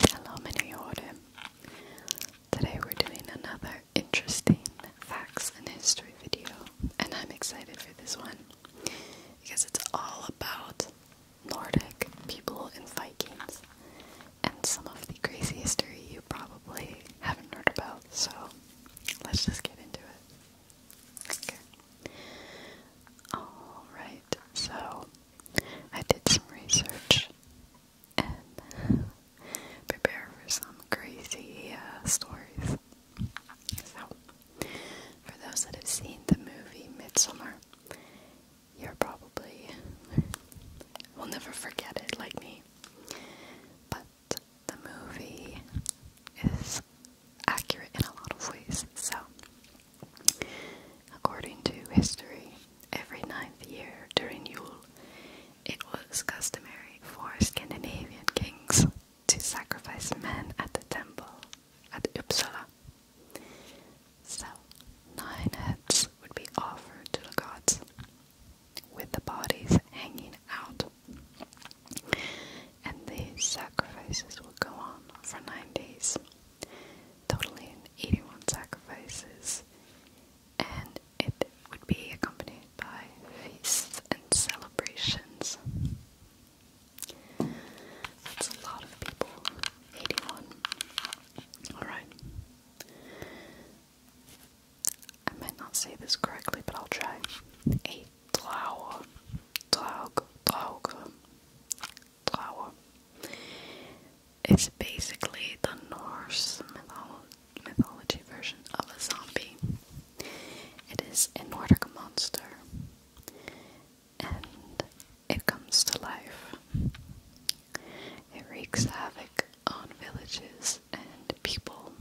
Hello, Miniore. Today we're doing another interesting facts and history video, and I'm excited for this one because it's all about Nordic people and Vikings and some of the crazy history you probably haven't heard about. So let's just get into it. Okay. Alright, so I did some research and prepare for some crazy uh, stories. So, for those that have seen the movie Midsummer, you're probably will never forget it like me. But the movie is accurate in a lot of ways, so According to history, every ninth year during Yule, it was customary for Scandinavian kings to sacrifice men at the temple at Uppsala. So, nine heads would be offered to the gods, with the bodies hanging out. And the sacrifices would go on for nine days totaling 81 sacrifices, and it would be accompanied by feasts and celebrations. That's a lot of people, 81. Alright. I might not say this correctly, but I'll try. A it's basically the Norse mythology version of a zombie. It is a Nordic monster and it comes to life. It wreaks havoc on villages and people,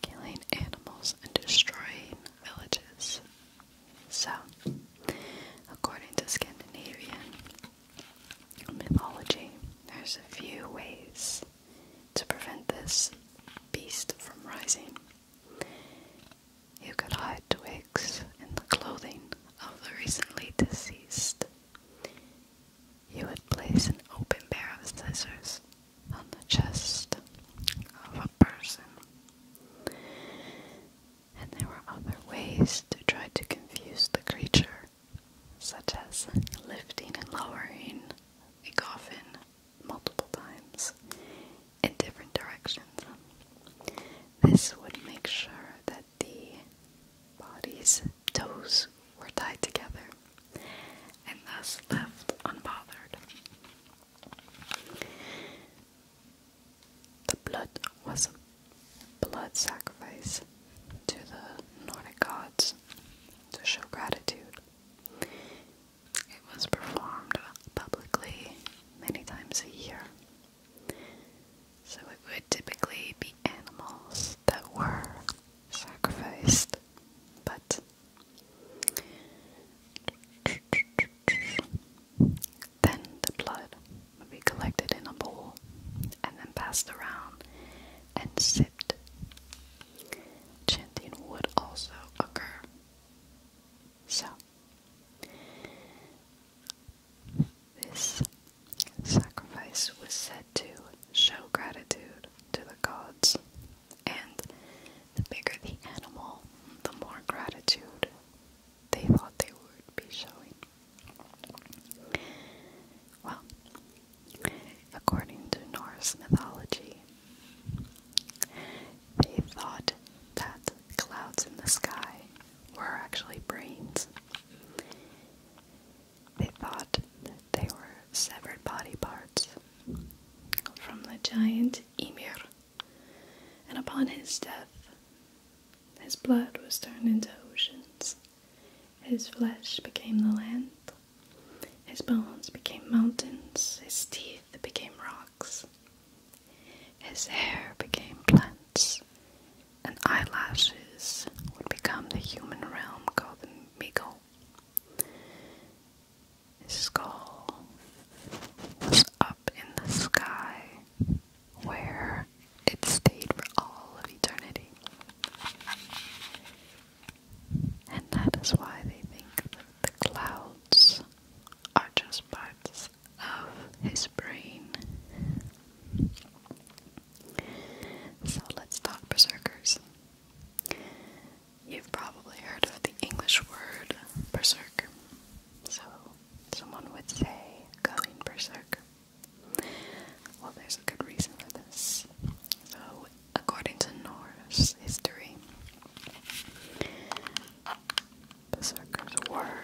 killing animals and destroying villages. So, according to Scandinavian mythology, there's a few ways to prevent this beast from rising. You could hide twigs in the clothing of the recently deceased. You would place an open pair of scissors on the chest person. And there were other ways to try to confuse the creature, such as lifting and lowering a coffin multiple times in different directions. This would make sure that the body's toes were tied together and thus left unbothered. The blood was a blood sacrifice to the Nordic gods to show gratitude. It was performed publicly many times a year. So it would typically be animals that were sacrificed, but then the blood would be collected in a bowl and then passed around and sipped. Chanting would also occur. So, this sacrifice was said to show gratitude to the gods and the bigger the animal, the more gratitude they thought they would be showing. Well, according to Norse mythology, they thought that clouds in the sky were actually brains. They thought that they were severed body parts from the giant Ymir and upon his death, his blood was turned into oceans, his flesh became the land, his bones became mountains, his teeth became rocks, his hair became plants, and eyelashes would become the human realm called the Migo. His skull was up in the sky where it stayed for all of eternity. And that is why they think that the clouds are just parts of his brain. So let's talk berserkers. You've probably heard of the English word berserk. So, someone would say going berserk. Well, there's a good reason for this. So, according to Norse history, berserkers were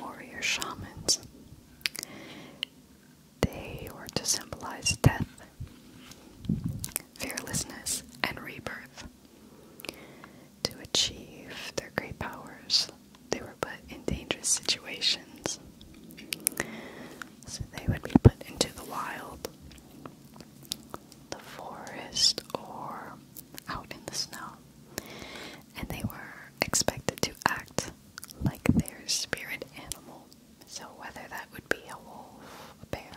warrior shamans. They were to symbolize death, fearlessness, and rebirth. To achieve their great powers, they were put in dangerous situations. So they would be put into the wild, the forest, or out in the snow. And they were expected to act like their spirit animal. So, whether that would be a wolf, a bear,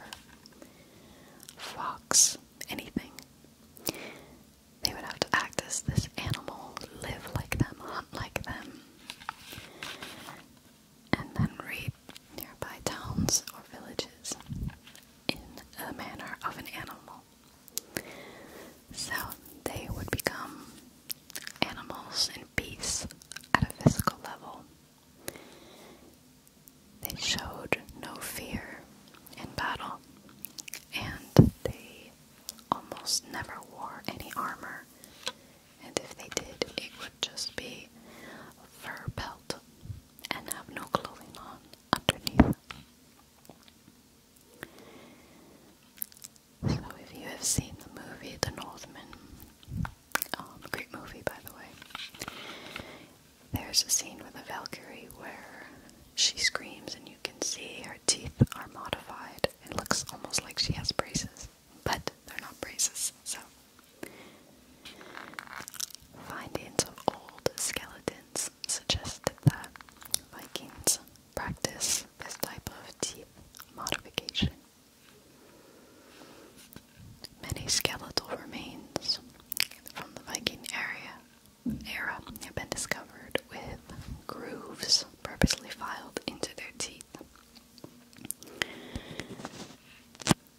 fox, anything. They would have to act as this animal, live like them, hunt like them, and then rape nearby towns or villages in the manner of an animal. So they would become animals and beasts at a physical level. They showed no fear in battle, and they almost never wore any armor. And if they did, it would just be a fur belt and have no clothing on underneath. So, if you have seen the movie The Northman, um, great movie, by the way. There's a scene with a Valkyrie where she screams, and you can see her teeth are modified. It looks almost like she has braces, but they're not braces, so. Findings of old skeletons suggest that Vikings practice this type of teeth modification. Many skeletal remains from the Viking area era have been discovered with grooves purposely filed into their teeth.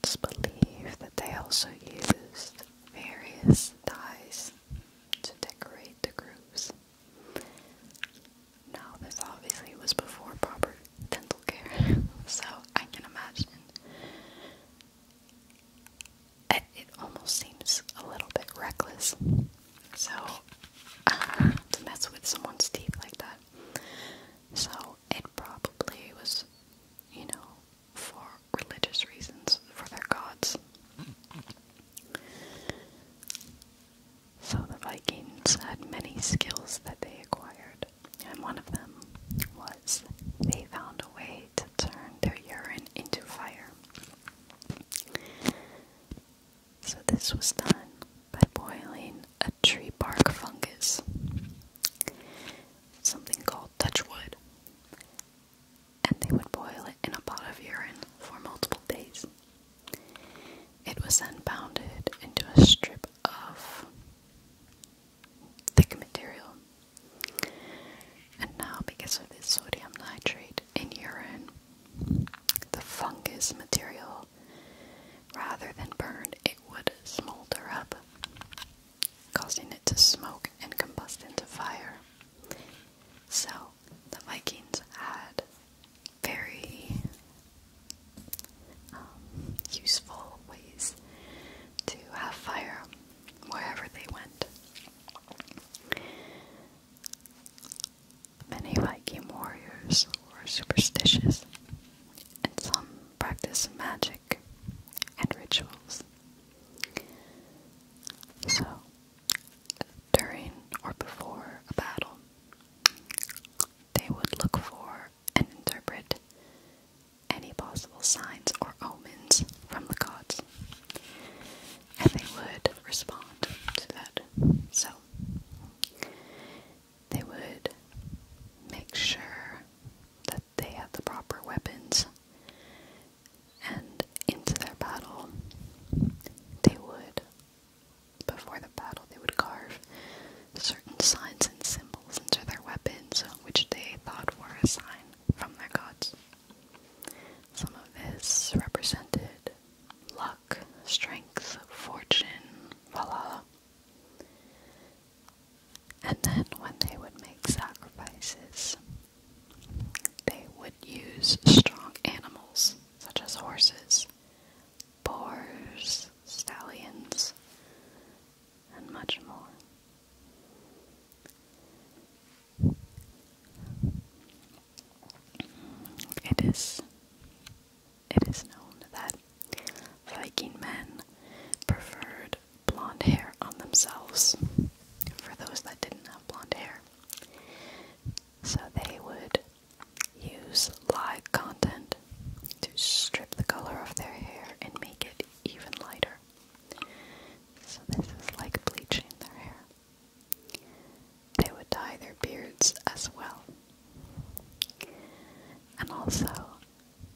It's believed that they also used various dyes to decorate the grooves. Now, this obviously was before proper dental care, so I can imagine uh, it, almost seems a little bit reckless. So, uh, to mess with someone's teeth like that. So, it probably was, you know, for religious reasons, for their gods. So, the Vikings had many skills that they acquired and one of them was they found a way to turn their urine into fire. So, this was done by boiling a tree bark fungus, something called touchwood, and they would boil it in a pot of urine for multiple days. It was then pounded into a strip of thick material. And now, because of the sodium nitrate in urine, the fungus material, rather than burn, it would smolder up, causing it to smoke and combust into fire. So, the Vikings had very um, useful ways to have fire wherever they went. Many Viking warriors were superstitious, and some practiced magic and rituals. So, during or before a battle, they would look for and interpret any possible signs or omens from the gods. And they would respond to that. So they would make sure that they had the proper weapons and into their battle they would before the battle, they would carve certain signs and symbols into their weapons, which they thought were a sign from their gods. Some of this represented luck, strength, fortune, Valhalla. And then when they would make sacrifices, they would use strong animals such as horses boars, stallions, and much more. It is it is known that Viking men preferred blonde hair on themselves for those that didn't have blonde hair. So they would Use live content to strip the color of their hair and make it even lighter. So, this is like bleaching their hair. They would dye their beards as well. And also,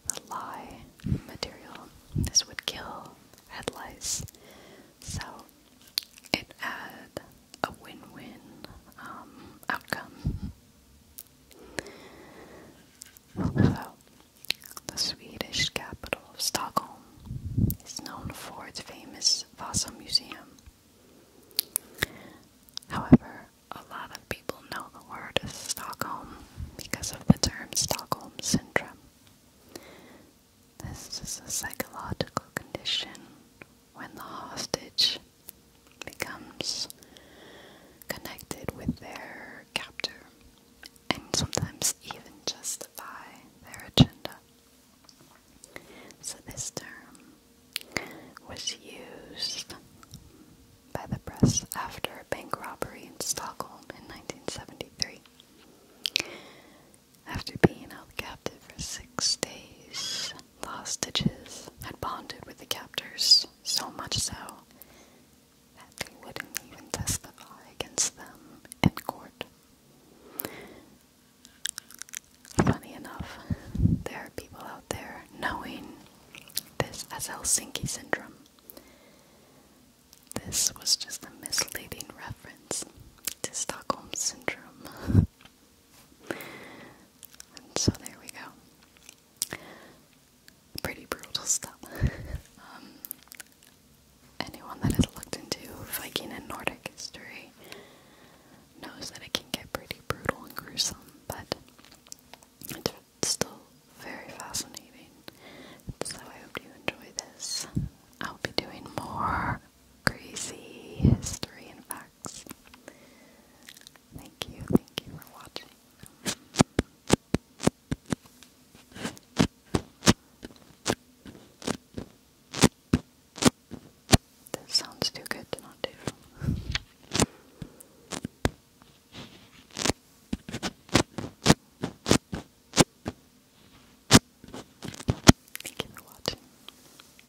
the lye material. This would kill head lice. So, it had a win win um, outcome the Swedish capital of Stockholm is known for its famous Vasa Museum. However, a lot of people know the word Stockholm because of the term Stockholm syndrome. This is a psychological condition when the hostage becomes connected with their captor and sometimes even justify their agenda. So, this term was used by the press after a bank robbery in Stockholm in 1973. After being held captive for six days, the hostages had bonded with the captors, so much so that they wouldn't even testify against them in court. Funny enough, there are people out there knowing this as Helsinki syndrome. This was just a misleading reference to Stockholm syndrome. And so there we go. Pretty brutal stuff. Um, anyone that has looked into Viking and Nordic history knows that it can get pretty brutal and gruesome, but it's still very fascinating. So I hope you enjoy this. I'll be doing more crazy history and facts. Thank you, thank you for watching. This sounds too good not do. Thank you for watching.